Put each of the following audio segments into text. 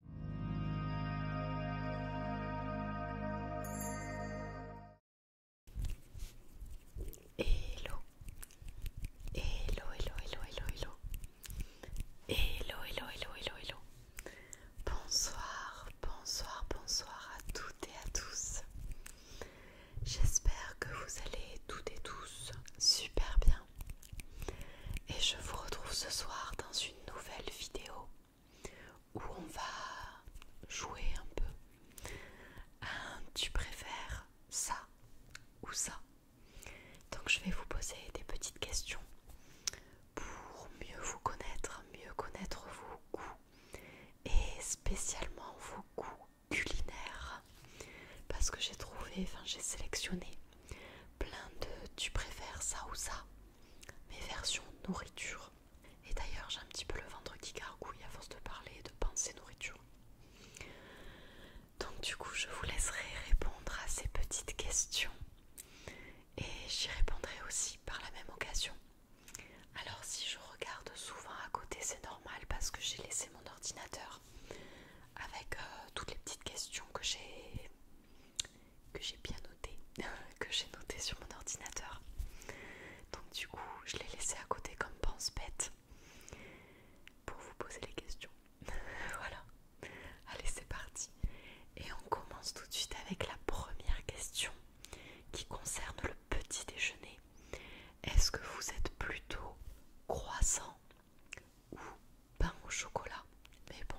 Hello. Hello, hello, hello, hello, hello. Hello, hello, hello, hello, Bonsoir, bonsoir, bonsoir à toutes et à tous. J'espère que vous allez toutes et tous super bien. Et je vous retrouve ce soir dans une nouvelle vidéo où on va jouer un peu. tu préfères ça ou ça Donc je vais vous poser des petites questions pour mieux vous connaître, mieux connaître vos goûts et spécialement vos goûts culinaires parce que j'ai trouvé, enfin j'ai sélectionné plein de tu préfères ça ou ça mes versions nourriture. Et d'ailleurs, j'ai un petit peu le ventre qui gargouille à force de parler et de penser nourriture. Donc du coup, je vous laisserai répondre à ces petites questions et j'y répondrai aussi par la même occasion. Alors si je regarde souvent à côté, c'est normal parce que j'ai laissé mon ordinateur avec euh, toutes les petites questions que j'ai que j'ai bien noté, que j'ai noté sur mon ordinateur. Donc du coup, je l'ai laissé à côté comme pense bête pour vous poser les questions. voilà. Allez, c'est parti. Et on commence tout de suite avec la première question qui concerne le petit déjeuner. Est-ce que vous êtes plutôt croissant, ou pain au chocolat. Mais bon,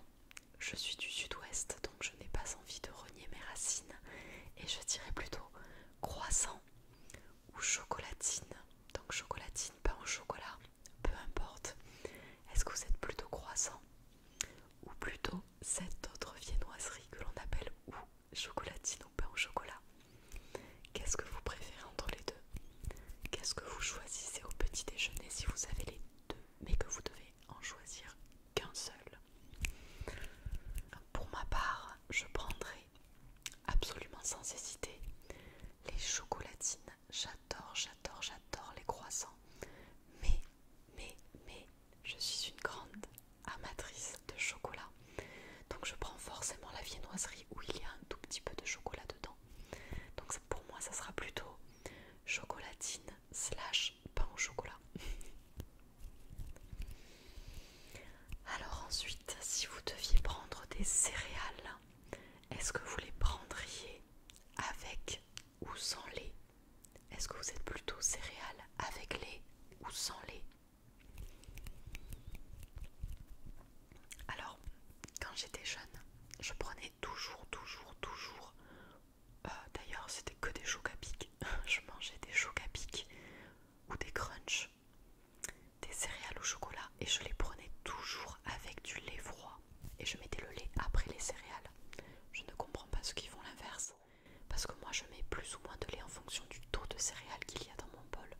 je suis du sud-ouest, donc je n'ai pas envie de renier mes racines. Et je dirais plutôt croissant ou chocolatine. Donc chocolatine, pain au chocolat, peu importe. Est-ce que vous êtes plutôt croissant ou plutôt cette autre viennoiserie que l'on appelle ou chocolatine ou pain au chocolat Qu'est-ce que vous préférez entre les deux Qu'est-ce que vous choisissez au petit déjeuner si vous avez les deux mais que vous devez en choisir qu'un seul. Pour ma part, je prendrai absolument sans hésiter les chocolatines. J'adore, j'adore, j'adore les croissants. Mais, mais, mais, je suis une grande amatrice de chocolat. Donc je prends forcément la viennoiserie où il y a un tout petit peu de chocolat dedans. Donc pour moi ça sera plutôt chocolatine slash pain au chocolat. Alors ensuite, si vous deviez prendre des céréales, est-ce que vous les prendriez avec ou sans lait Est-ce que vous êtes plutôt céréales avec lait ou sans lait Alors, quand j'étais jeune, je prenais toujours, toujours, toujours euh, d'ailleurs, c'était que des choux Je mangeais des choux ou des crunchs, des céréales au chocolat et je les prenais toujours avec du lait froid. Et je mettais le lait après les céréales. Je ne comprends pas ce qui font l'inverse parce que moi je mets plus ou moins de lait en fonction du taux de céréales qu'il y a dans mon bol.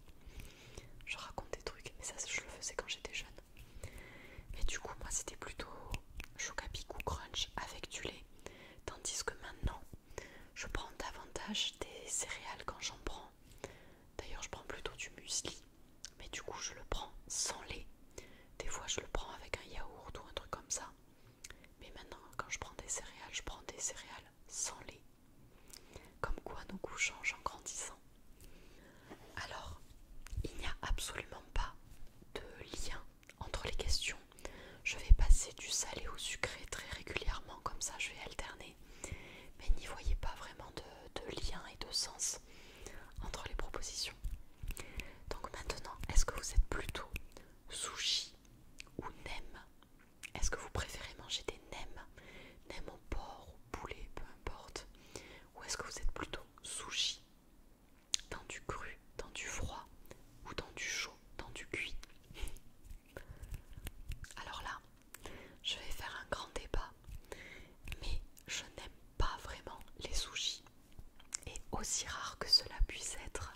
Je raconte des trucs, mais ça je le faisais quand j'étais jeune. Et du coup, moi c'était plutôt Chocapic ou Crunch avec du lait. Tandis que maintenant, je prends davantage des céréales quand j'en prends. D'ailleurs, je prends plutôt du muesli. Mais du coup, je le prends sans lait. Des fois, je le prends avec un yaourt ou un truc comme ça. Mais maintenant, quand je prends des céréales, je prends des céréales sans lait. Comme quoi, nos goûts changent en grandissant. Alors, il n'y a absolument pas de lien entre les questions. Je vais passer du salé au sucré très régulièrement, comme ça je vais alterner. Mais n'y voyez pas vraiment de, lien et de sens entre les propositions. Donc maintenant, est-ce que vous êtes plutôt sushi ou nem Est-ce que vous préférez manger des nems Nem au porc ou poulet, peu importe. Ou est-ce que vous êtes plutôt sushi dans du cru, dans du froid ou dans du chaud, dans du cuit Alors là, je vais faire un grand débat, mais je n'aime pas vraiment les sushis. Et aussi rare que cela puisse être,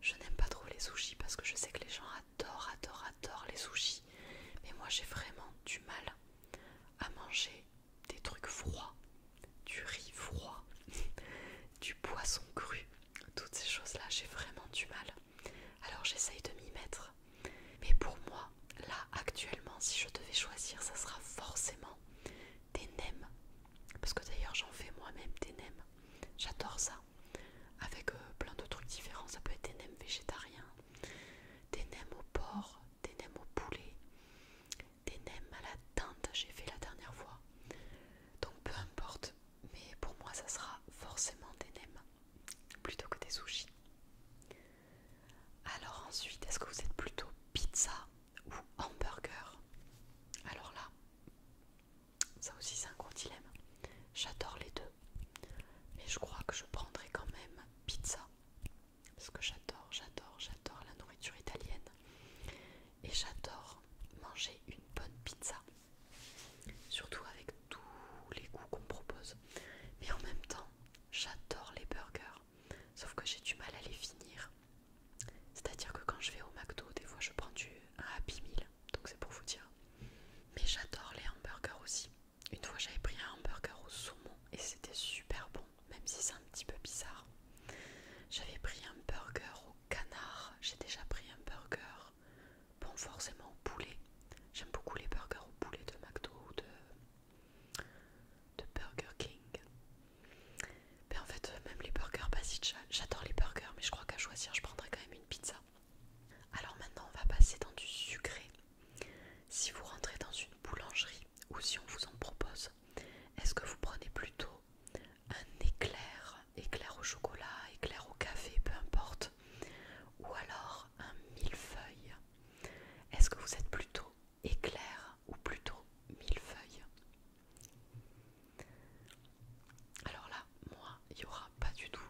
je n'aime pas trop les sushis parce que je sais que les gens adorent, adorent, adorent les sushis. Mais moi j'ai vraiment du mal à manger des trucs froids, du riz froid, du poisson cru, toutes ces choses-là, j'ai vraiment du mal. Alors j'essaye de m'y mettre. Mais pour moi, là actuellement, si je devais choisir, ça sera forcément des nems. Parce que d'ailleurs j'en fais moi-même des nems. J'adore ça. Avec euh, plein de trucs différents. Ça peut être des nems végétariens, des nems au porc, des nems au poulet, des nems à la teinte, j'ai fait la dernière fois. Donc peu importe, mais pour moi ça sera forcément des nems plutôt que des sushis. Alors ensuite, est-ce que vous êtes plutôt pizza ou hamburger Alors là, ça aussi c'est un gros dilemme. J'adore les deux, mais je crois que je prendrai quand même pizza parce que j'adore, j'adore, j'adore la nourriture italienne et j'adore manger une bonne pizza, surtout avec tous les goûts qu'on propose. Mais en même temps, j'adore les burgers, sauf que j'ai du mal à les finir. C'est-à-dire que quand je vais au McDo, des fois je prends du Happy Meal, donc c'est pour vous dire. Mais j'adore les hamburgers aussi. Une fois j'avais pris un hamburger au saumon et c'était super bon même si c'est un petit peu bizarre. J'avais pris un burger au canard, j'ai déjà pris un burger, bon forcément au poulet. J'aime beaucoup les burgers au poulet de McDo ou de, Burger King. Mais en fait, même les burgers basiques, j'adore les burgers, mais je crois qu'à choisir, je prendrais quand même une pizza. Alors maintenant, on va passer dans du sucré. Si vous rentrez dans une boulangerie ou si on vous en propose est-ce que vous prenez plutôt un éclair, éclair au chocolat, éclair au café, peu importe, ou alors un millefeuille Est-ce que vous êtes plutôt éclair ou plutôt millefeuille Alors là, moi, il n'y aura pas du tout,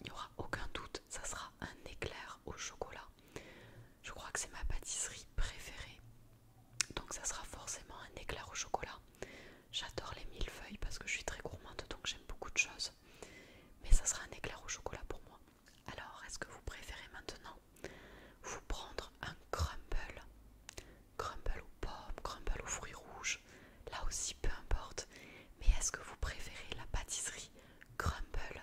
il n'y aura aucun doute, ça sera un éclair au chocolat. Je crois que c'est ma pâtisserie préférée. Donc ça sera forcément un éclair au chocolat. J'adore les mille-feuilles parce que je suis très gourmande donc j'aime beaucoup de choses. Mais ça sera un éclair au chocolat pour moi. Alors est-ce que vous préférez maintenant vous prendre un crumble Crumble aux pommes, crumble aux fruits rouges, là aussi peu importe. Mais est-ce que vous préférez la pâtisserie crumble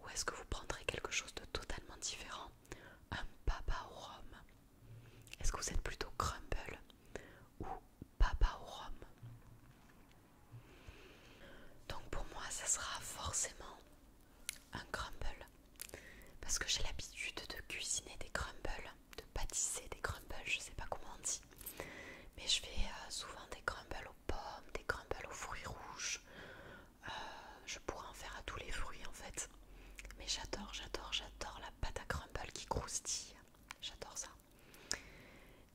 ou est-ce que vous prendrez quelque chose de totalement différent un papa au rhum. Est-ce que vous êtes plutôt crumble ou papa au rhum Donc pour moi, ça sera forcément un crumble parce que j'ai l'habitude de cuisiner des crumbles, de pâtisser des crumbles, je sais pas comment on dit, mais je fais euh, souvent des crumbles aux pommes, des crumbles aux fruits rouges, euh, je pourrais en faire à tous les fruits en fait. Mais j'adore, j'adore, j'adore la pâte à crumble qui croustille. J'adore ça.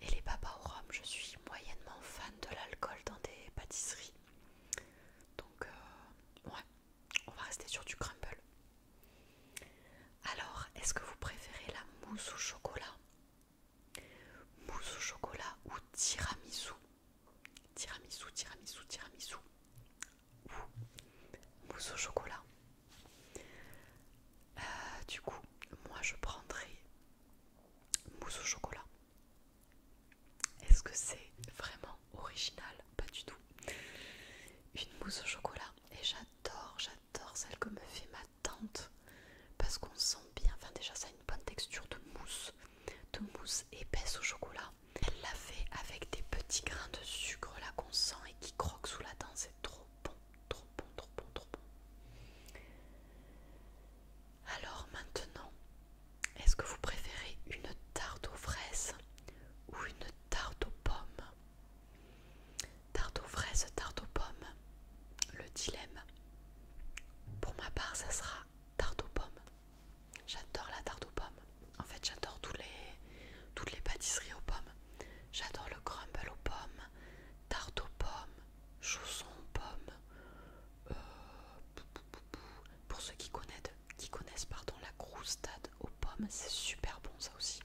Et les papas au rhum, je suis moyennement fan de l'alcool dans des pâtisseries. Donc, euh, ouais, on va rester sur du crumble. Alors, est-ce que vous préférez la mousse au chocolat Mousse au chocolat ou tiramisu Tiramisu, tiramisu, tiramisu. mousse au chocolat. Euh, du coup, moi je prendrai mousse au chocolat. Est-ce que c'est vraiment original Pas du tout. Une mousse au chocolat. Et j'adore, j'adore celle que me fait ma tante. Parce qu'on sent bien, enfin déjà ça a une bonne texture de mousse. De mousse épaisse au chocolat. Elle l'a fait avec des petits grains de sucre là qu'on sent et qui croque sous la dent. C'est trop bon, trop bon, trop bon, trop bon. Alors maintenant, est-ce que vous préférez une tarte aux fraises ou une tarte aux pommes Tarte aux fraises, tarte aux pommes. Le dilemme. Pour ma part, ça sera tarte aux pommes. J'adore la tarte aux pommes. En fait, j'adore toutes les pâtisseries aux pommes. J'adore le crumble aux pommes, tarte aux pommes, chaussons aux pommes. Euh, pour ceux qui connaissent, pardon, la croustade aux pommes, c'est super bon ça aussi.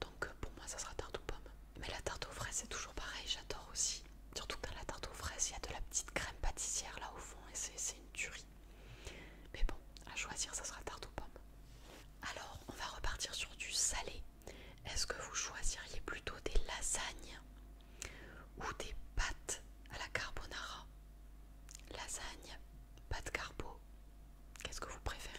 Donc pour moi, ça sera tarte aux pommes. Mais la tarte aux fraises, c'est toujours pareil. J'adore aussi. Surtout que dans la tarte aux fraises, il y a de la petite crème pâtissière là au fond et c'est une tuerie. Mais bon, à choisir, ça sera tarte aux pommes. Alors, on va repartir sur du salé. Est-ce que vous choisiriez plutôt des lasagnes ou des pâtes à la carbonara Lasagne, pâte carbo, qu'est-ce que vous préférez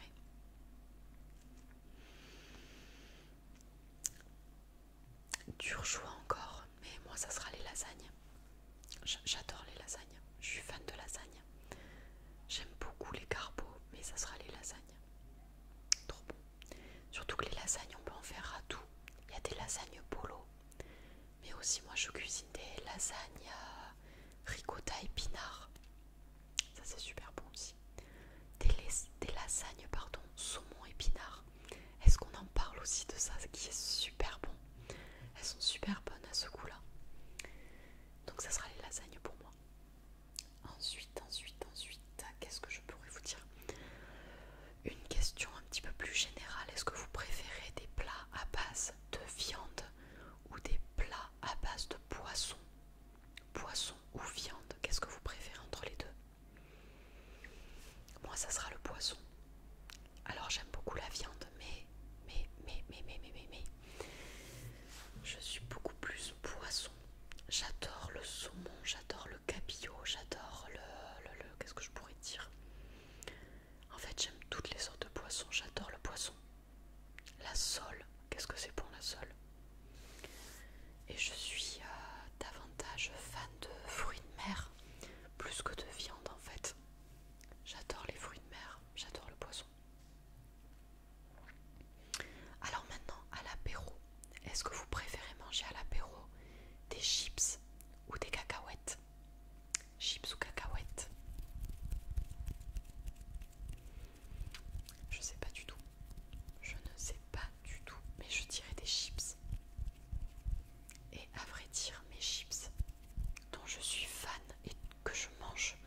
dure choix encore, mais moi ça sera les lasagnes. J'adore les lasagnes, je suis fan de lasagnes. J'aime beaucoup les carbo, mais ça sera les lasagnes. Trop bon. Surtout que les lasagnes, on peut en faire à tout. Il y a des lasagnes polo, mais aussi moi je cuisine des lasagnes euh, ricotta épinards. Ça c'est super bon aussi. Des, des lasagnes, pardon, saumon épinard. Est-ce qu'on en parle aussi de ça ce qui est super bon Elles sont super bonnes à ce coup là Donc ça sera les lasagnes pour moi. Ensuite, ensuite, ensuite, qu'est-ce que je pourrais vous dire Une question un petit peu plus générale. Est-ce que vous préférez des plats à base de viande ou des plats à base de poisson Poisson ou viande Qu'est-ce que vous préférez entre les deux moi, ça sera le poisson. Alors, j'aime beaucoup la viande, mais, mais, mais, mais, mais, mais, mais, je suis beaucoup plus poisson. J'adore le saumon, j'adore le cabillaud, j'adore le, le, qu'est-ce que je pourrais dire En fait, j'aime toutes les sortes de poissons. J'adore le poisson. La sole, qu'est-ce que c'est pour la sole Et je suis euh, davantage fan de fruits de mer plus que de viande en fait. J'adore les fruits de mer, j'adore le poisson. Alors maintenant, à l'apéro, est-ce que vous préférez manger à l'apéro des chips ou des cacahuètes Chips ou cacahuètes Je sais pas du tout. Je ne sais pas du tout, mais je dirais des chips. Et à vrai dire, mes chips, dont je suis fan et que je mange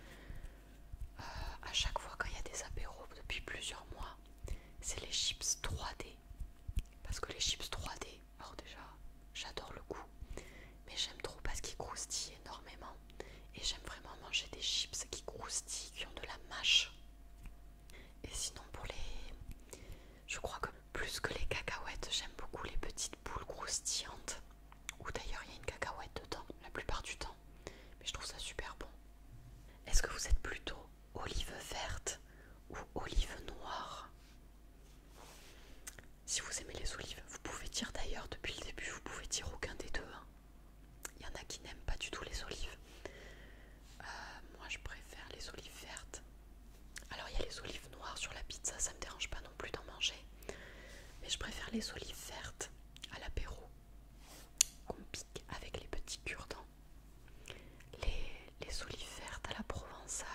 euh, à chaque fois quand il y a des apéros depuis plusieurs mois, c'est les chips 3D. Parce que les chips 3D, alors déjà, j'adore le goût, mais j'aime trop parce qu'ils croustillent énormément. Et j'aime vraiment manger des chips qui croustillent, qui ont de la mâche. Et sinon pour les... Je crois que plus que les cacahuètes, j'aime beaucoup les petites boules croustillantes. Ou d'ailleurs il y a une cacahuète dedans la plupart du temps. Mais je trouve ça super bon. Est-ce que vous êtes plutôt olive verte ou olive noire Si vous aimez les olives, vous pouvez dire d'ailleurs depuis le début, vous pouvez dire aucun des deux. Hein. Il y en a qui n'aiment pas du tout les olives. Euh, moi je préfère les olives vertes. Alors il y a les olives noires sur la pizza, ça me dérange pas non plus d'en manger. Mais je préfère les olives vertes à l'apéro. Qu'on pique avec les petits cure Les, olives vertes à la provençale,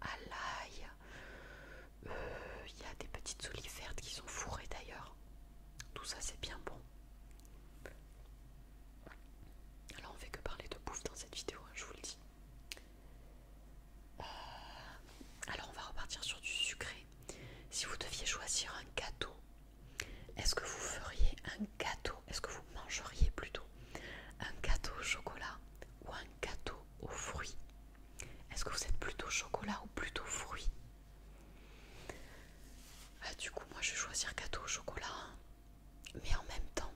à l'ail. Euh, il y a des petites olives vertes qui sont fourrées d'ailleurs. Tout ça c'est bien bon. Alors on ne fait que parler de bouffe dans cette vidéo, hein, je vous le dis. Euh, alors on va repartir sur du sucré. Si vous deviez choisir un gâteau, est-ce que vous feriez un gâteau Est-ce que vous mangeriez plutôt un gâteau au chocolat ou un gâteau aux fruits Est-ce que vous êtes plutôt chocolat ou plutôt fruits euh, Du coup moi je vais choisir gâteau au chocolat. Hein. Mais en même temps,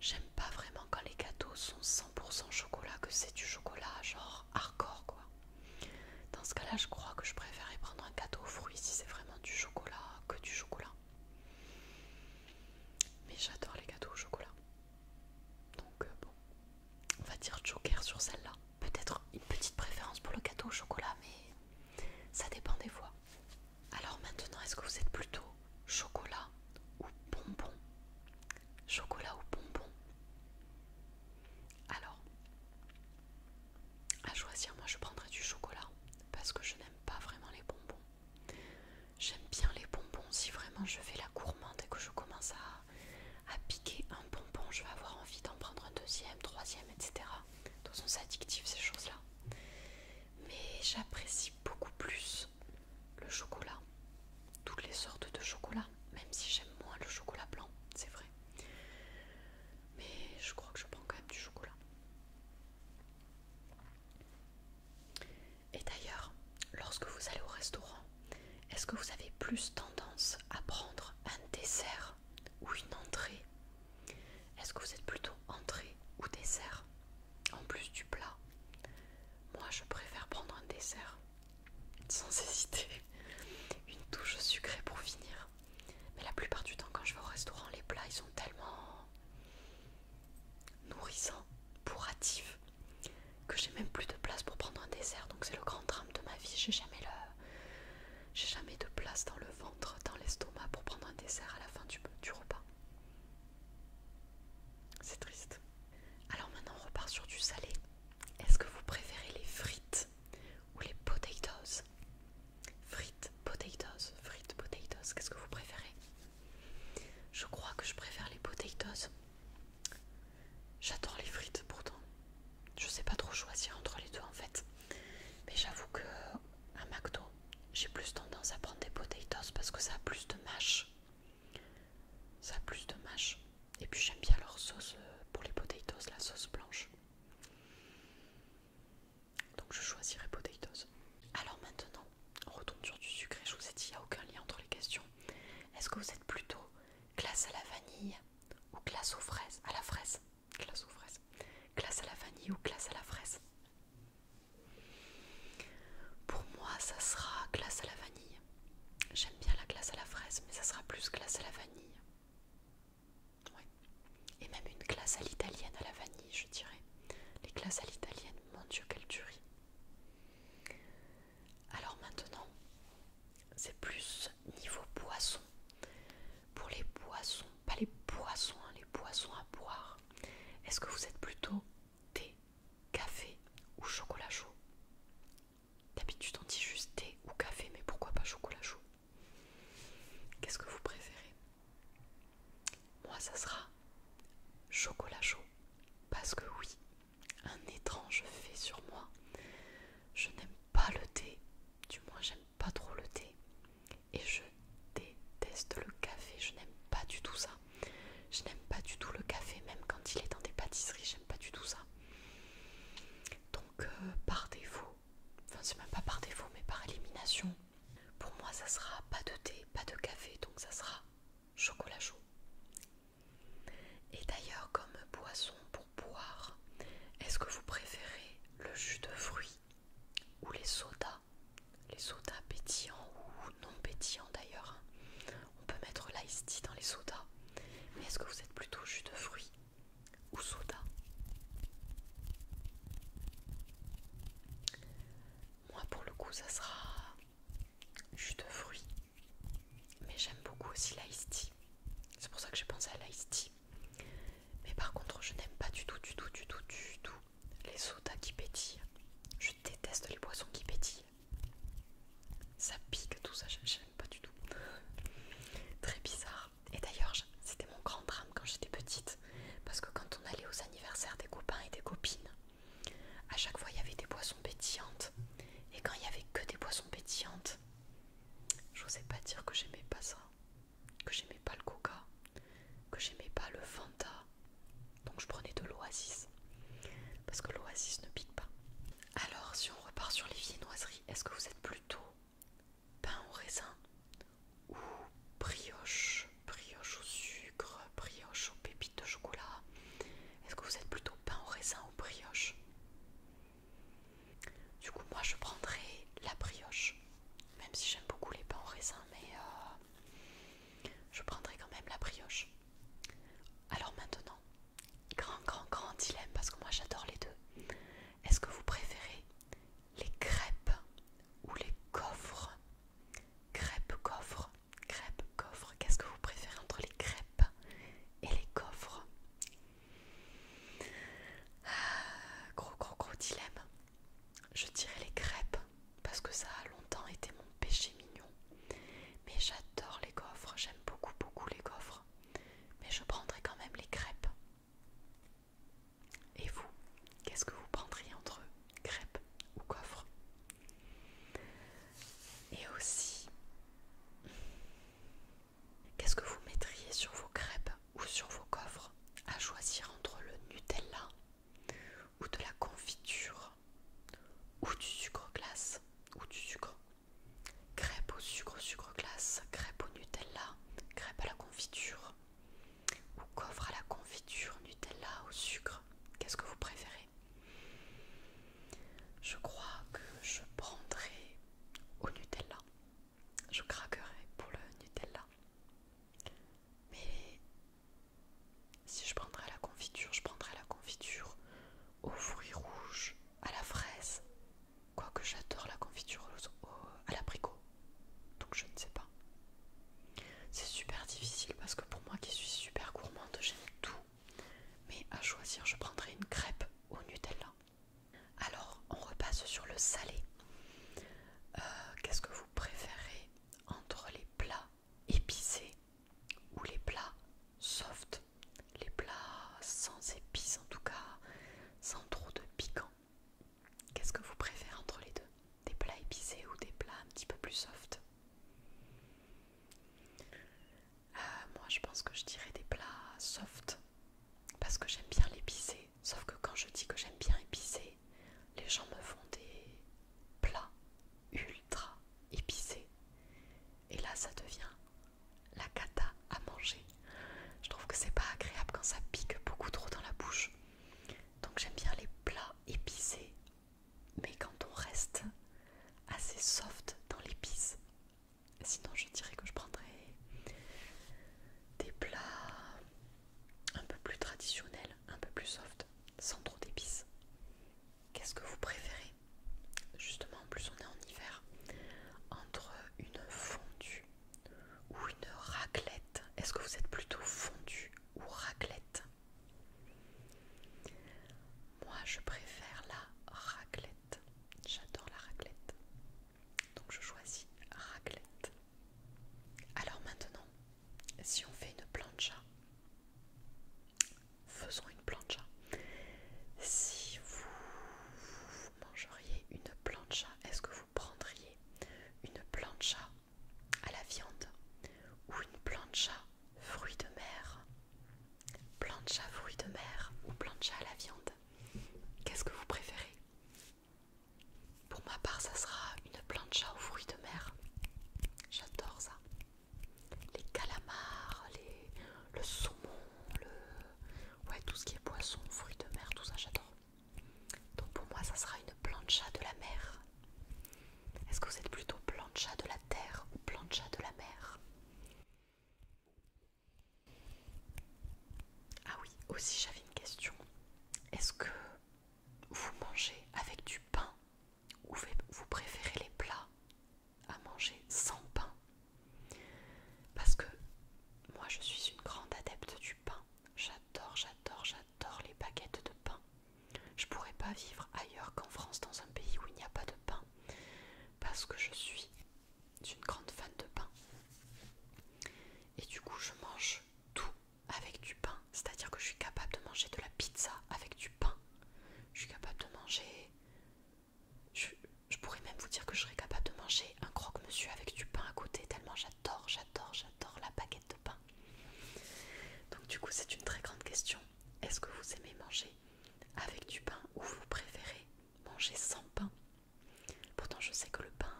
j'aime pas vraiment quand les gâteaux sont 100% chocolat, que c'est du chocolat genre hardcore quoi. Dans ce cas-là, je crois que je préférerais prendre un gâteau aux fruits si c'est vraiment du chocolat que du chocolat. Mais j'adore les gâteaux au chocolat. Donc euh, bon, on va dire joker sur celle-là. Peut-être une petite préférence pour le gâteau au chocolat, mais ça dépend des fois. Alors maintenant, est-ce que vous êtes plutôt chocolat ou bonbon Chocolat ou bonbon Alors, à choisir, moi je prendrais du chocolat parce que je n'aime pas vraiment les bonbons. J'aime bien les bonbons si vraiment je fais la gourmande et que je commence à, piquer un bonbon, je vais avoir envie d'en prendre un deuxième, troisième, etc. De toute façon, c'est addictif ces choses-là mais j'apprécie beaucoup plus le chocolat, toutes les sortes de chocolat, même si j'aime moins le chocolat blanc, c'est vrai. Mais je crois que je prends quand même du chocolat. Et d'ailleurs, lorsque vous allez au restaurant, est-ce que vous avez plus tendance à prendre un dessert ou une entrée est-ce que vous êtes plutôt entrée ou dessert en plus du plat Moi, je préfère prendre un dessert sans hésiter, une touche sucrée pour finir. Mais la plupart du temps, quand je vais au restaurant, les plats ils sont tellement nourrissants, bourratifs, que j'ai même plus de place pour prendre un dessert. Donc c'est le grand drame de ma vie. J'ai jamais le, j'ai jamais de place dans le ventre, dans l'estomac pour prendre un dessert à la fin du repas. C'est triste. Alors maintenant on repart sur du salé. Est-ce que vous préférez les frites ou les potatoes Frites, potatoes, frites, potatoes, qu'est-ce que vous préférez Je crois que je préfère les potatoes. J'adore les frites pourtant. Je sais pas trop choisir entre les deux en fait. Mais j'avoue que un McDo j'ai plus tendance à prendre des potatoes parce que ça a plus de mâche. Ça a plus de mâche. Et puis j'aime bien leur sauce euh, pour les potatoes, la sauce blanche. Donc je choisirai potatoes. Alors maintenant, on retourne sur du sucré. Je vous ai dit, il n'y a aucun lien entre les questions. Est-ce que vous êtes plutôt glace à la vanille ou glace aux fraises À la fraise. Glace aux fraises. Glace à la vanille ou glace à la fraise pour moi, ça sera glace à la vanille. J'aime bien la glace à la fraise, mais ça sera plus glace à la vanille. Et même une glace à l'italienne à la vanille, je dirais. Les glaces à l'italienne, mon Dieu, quelle tuerie. Alors maintenant, c'est plus niveau poisson. Pour les poissons, pas les poissons, hein, les poissons à boire. Est-ce que vous êtes plutôt thé, café ou chocolat chaud D'habitude on dit juste thé ou café, mais pourquoi pas chocolat chaud Qu'est-ce que vous préférez Moi ça sera chocolat chaud. Parce que oui, un étrange fait sur moi. Je n'aime pas le thé, du moins j'aime pas trop le thé et je déteste le café, je n'aime pas du tout ça. Je n'aime pas du tout le café, même quand il est dans des pâtisseries, j'aime pas du tout ça. Donc euh, par défaut, enfin c'est même pas par défaut, mais par élimination, pour moi ça sera pas de thé, pas de café, donc ça sera chocolat chaud. Et d'ailleurs comme boisson pour boire, est-ce que vous préférez le jus de fruits ou les sodas les sodas pétillants ou non pétillants d'ailleurs. Hein. On peut mettre l'ice tea dans les sodas. Mais est-ce que vous êtes plutôt jus de fruits ou soda Moi pour le coup ça sera jus de fruits. Mais j'aime beaucoup aussi l'ice tea. C'est pour ça que j'ai pensé à l'ice tea. Mais par contre je n'aime pas du tout, du tout, du tout, du tout les sodas qui pétillent. Je déteste les boissons qui pétillent. Ça pique tout ça, j'aime pas du tout. Très bizarre. Et d'ailleurs, c'était mon grand drame quand j'étais petite. Parce que quand on allait aux anniversaires des copains et des copines, à chaque fois il y avait des boissons pétillantes. Et quand il y avait que des boissons pétillantes, j'osais pas dire que j'aimais pas ça que j'aimais pas le coca, que j'aimais pas le Fanta. Donc je prenais de l'oasis. Parce que l'oasis ne pique pas. Alors si on repart sur les viennoiseries, est-ce que vous êtes plutôt pain au raisin ou brioche, brioche au sucre, brioche aux pépites de chocolat Est-ce que vous êtes plutôt pain au raisin ou brioche Du coup moi je prendrais la brioche. Même si j'aime beaucoup les pains au raisin, mais euh, je prendrai quand même la brioche. Alors maintenant, grand, grand, grand dilemme, parce que moi j'adore les deux. Est-ce que vous préférez les crêpes ou les coffres Crêpes, coffres, crêpes, coffres. Qu'est-ce que vous préférez entre les crêpes et les coffres ah, Gros, gros, gros dilemme. Je dirais les crêpes parce que ça a longtemps été mon péché mignon. Mais j'adore les coffres, j'aime beaucoup beaucoup les coffres Mais je prendrais quand même les crêpes. Et vous, qu'est-ce que vous prendriez entre crêpes ou coffres Et aussi, qu'est-ce que vous mettriez sur vos crêpes ou sur vos coffres à choisir entre le Nutella ou de la confiture, ou du sucre glace, ou du sucre. Crêpe au sucre, sucre glace, crêpe au Nutella, crêpe à la confiture, ou coffre à la confiture, Nutella au sucre. Qu'est-ce que vous préférez Je crois que je prendrai au Nutella. Je craquerai pour le Nutella. Mais si je prendrais la confiture, je prendrais la confiture aux fruits rouges, à la fraise. Quoique j'adore la confiture à l'abricot. Donc je ne sais pas. C'est super difficile parce que pour moi qui suis super gourmande, j'aime tout. Mais à choisir, je prendrais une crêpe au Nutella. Alors, on repasse sur le salé. Euh, qu'est-ce que vous préférez entre les plats épicés ou les plats soft, les plats sans épices en tout cas, sans trop de piquant. Qu'est-ce que vous préférez entre les deux Des plats épicés ou des plats un petit peu plus soft euh, Moi je pense que je dirais des plats soft parce que j'aime bien l'épicé Sauf que quand je dis que j'aime bien épicé, les gens me font des plats ultra épicés. Et là, ça devient la cata à manger. Je trouve que c'est pas agréable quand ça pique beaucoup trop dans la bouche. Donc j'aime bien les plats épicés, mais quand on reste assez soft dans l'épice. Sinon, je dirais que je prendrais des plats un peu plus traditionnel, un peu plus soft, sans trop d'épices. Qu'est-ce que vous préférez Justement, en plus on est en hiver, entre une fondue ou une raclette. Est-ce que vous êtes plutôt fondue ou raclette Moi, je préfère la raclette. J'adore la raclette. Donc je choisis raclette. Alors maintenant, si on fait une plancha, faisons une plancha. Si vous, mangeriez une plancha, est-ce que vous prendriez une plancha à la viande ou une plancha fruits de mer Plancha fruits de mer ou plancha à la viande Qu'est-ce que vous préférez pour ma part, ça sera une plancha aux fruits de mer. J'adore ça. Les calamars, les... le saumon, le... Ouais, tout ce qui est poisson, fruits de mer, tout ça, j'adore. Donc pour moi, ça sera une plancha de la mer. Est-ce que vous êtes plutôt plancha de la terre ou plancha de la mer Ah oui, aussi j'avais une question. Est-ce que vous mangez avec du pain ou vous préférez les plats à manger sans pain Parce que moi je suis une grande adepte du pain. J'adore, j'adore, j'adore les baguettes de pain. Je pourrais pas vivre ailleurs qu'en France dans un pays où il n'y a pas de pain parce que je suis une grande fan de pain. Et du coup, je mange tout avec du pain. C'est-à-dire que je suis capable de manger de la pizza avec du pain. Je suis capable de manger... Je, pourrais même vous dire que je serais capable de manger un croque-monsieur avec du pain à côté, tellement j'adore, j'adore, j'adore la baguette de pain. Donc du coup, c'est une très grande question. Est-ce que vous aimez manger avec du pain ou vous préférez manger sans pain Pourtant, je sais que le pain,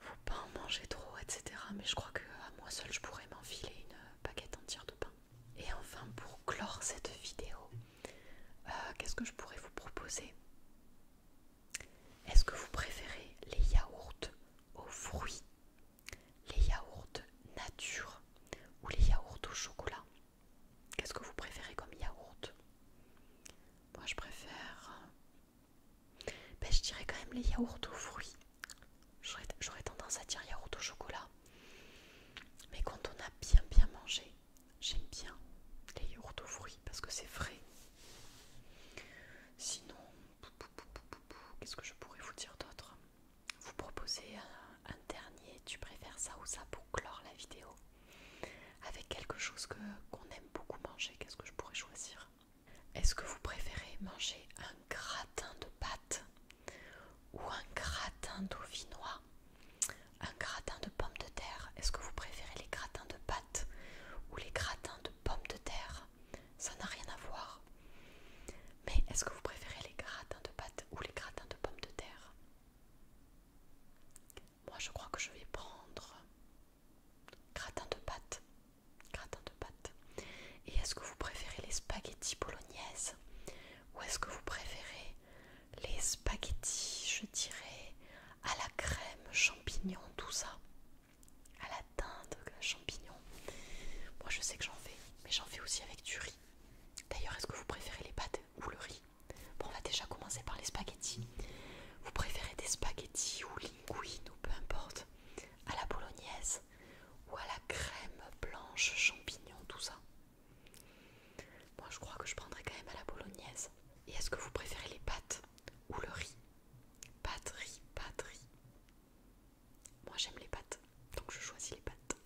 faut pas en manger trop, etc. Mais je crois que à moi seule je pourrais m'enfiler une euh, baguette entière de pain. Et enfin pour clore cette vidéo, euh, qu'est-ce que je pourrais vous proposer Est-ce que vous préférez les yaourts aux fruits, les yaourts nature ou les yaourts au chocolat Qu'est-ce que vous préférez comme yaourt Moi je préfère ben, je dirais quand même les yaourts aux fruits. J'aurais tendance à dire yaourt au chocolat. Mais quand on a bien bien mangé, j'aime bien les yaourts aux fruits parce que c'est vrai. Sinon, qu'est-ce que je pourrais vous dire d'autre Vous proposer un, dernier, tu préfères ça ou ça pour clore la vidéo Avec quelque chose qu'on aime beaucoup manger, qu'est-ce que je pourrais choisir est-ce que vous préférez manger un gratin de pâte ou un gratin d'auvinois Un gratin de pommes de terre Est-ce que vous préférez les gratins de pâtes ou les gratins de pommes de terre Ça n'a rien à voir. Mais est-ce que vous préférez les gratins de pâtes ou les gratins de pommes de terre Moi je crois que je vais prendre Gratin de pâte. Gratin de pâtes. Et est-ce que vous préférez les spaghettis bolognaise ou est-ce que vous préférez les spaghettis, je dirais, à la crème, champignons, tout ça À la dinde, champignons. Moi je sais que j'en fais, mais j'en fais aussi avec du riz. D'ailleurs, est-ce que vous préférez les pâtes ou le riz Bon, on va déjà commencer par les spaghettis. Vous préférez des spaghettis ou linguine ou peu importe à la bolognaise ou à la crème blanche champignons, tout ça. Moi, je crois que je prendrais quand même à la bolognaise. Et est-ce que vous préférez les pâtes ou le riz Pâtes, riz, pâtes, riz. Moi, j'aime les pâtes, donc je choisis les pâtes.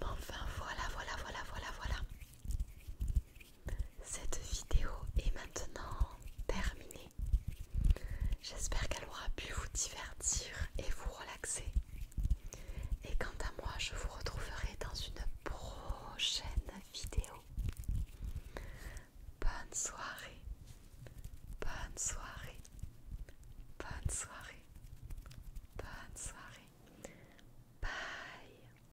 Enfin, voilà, voilà, voilà, voilà, voilà. Cette vidéo est maintenant terminée. J'espère qu'elle aura pu vous divertir et vous relaxer. Et quant à moi, je vous retrouverai dans une prochaine vidéo. Bonne soirée. Bonne soirée. Bonne soirée. Bonne soirée. Bye.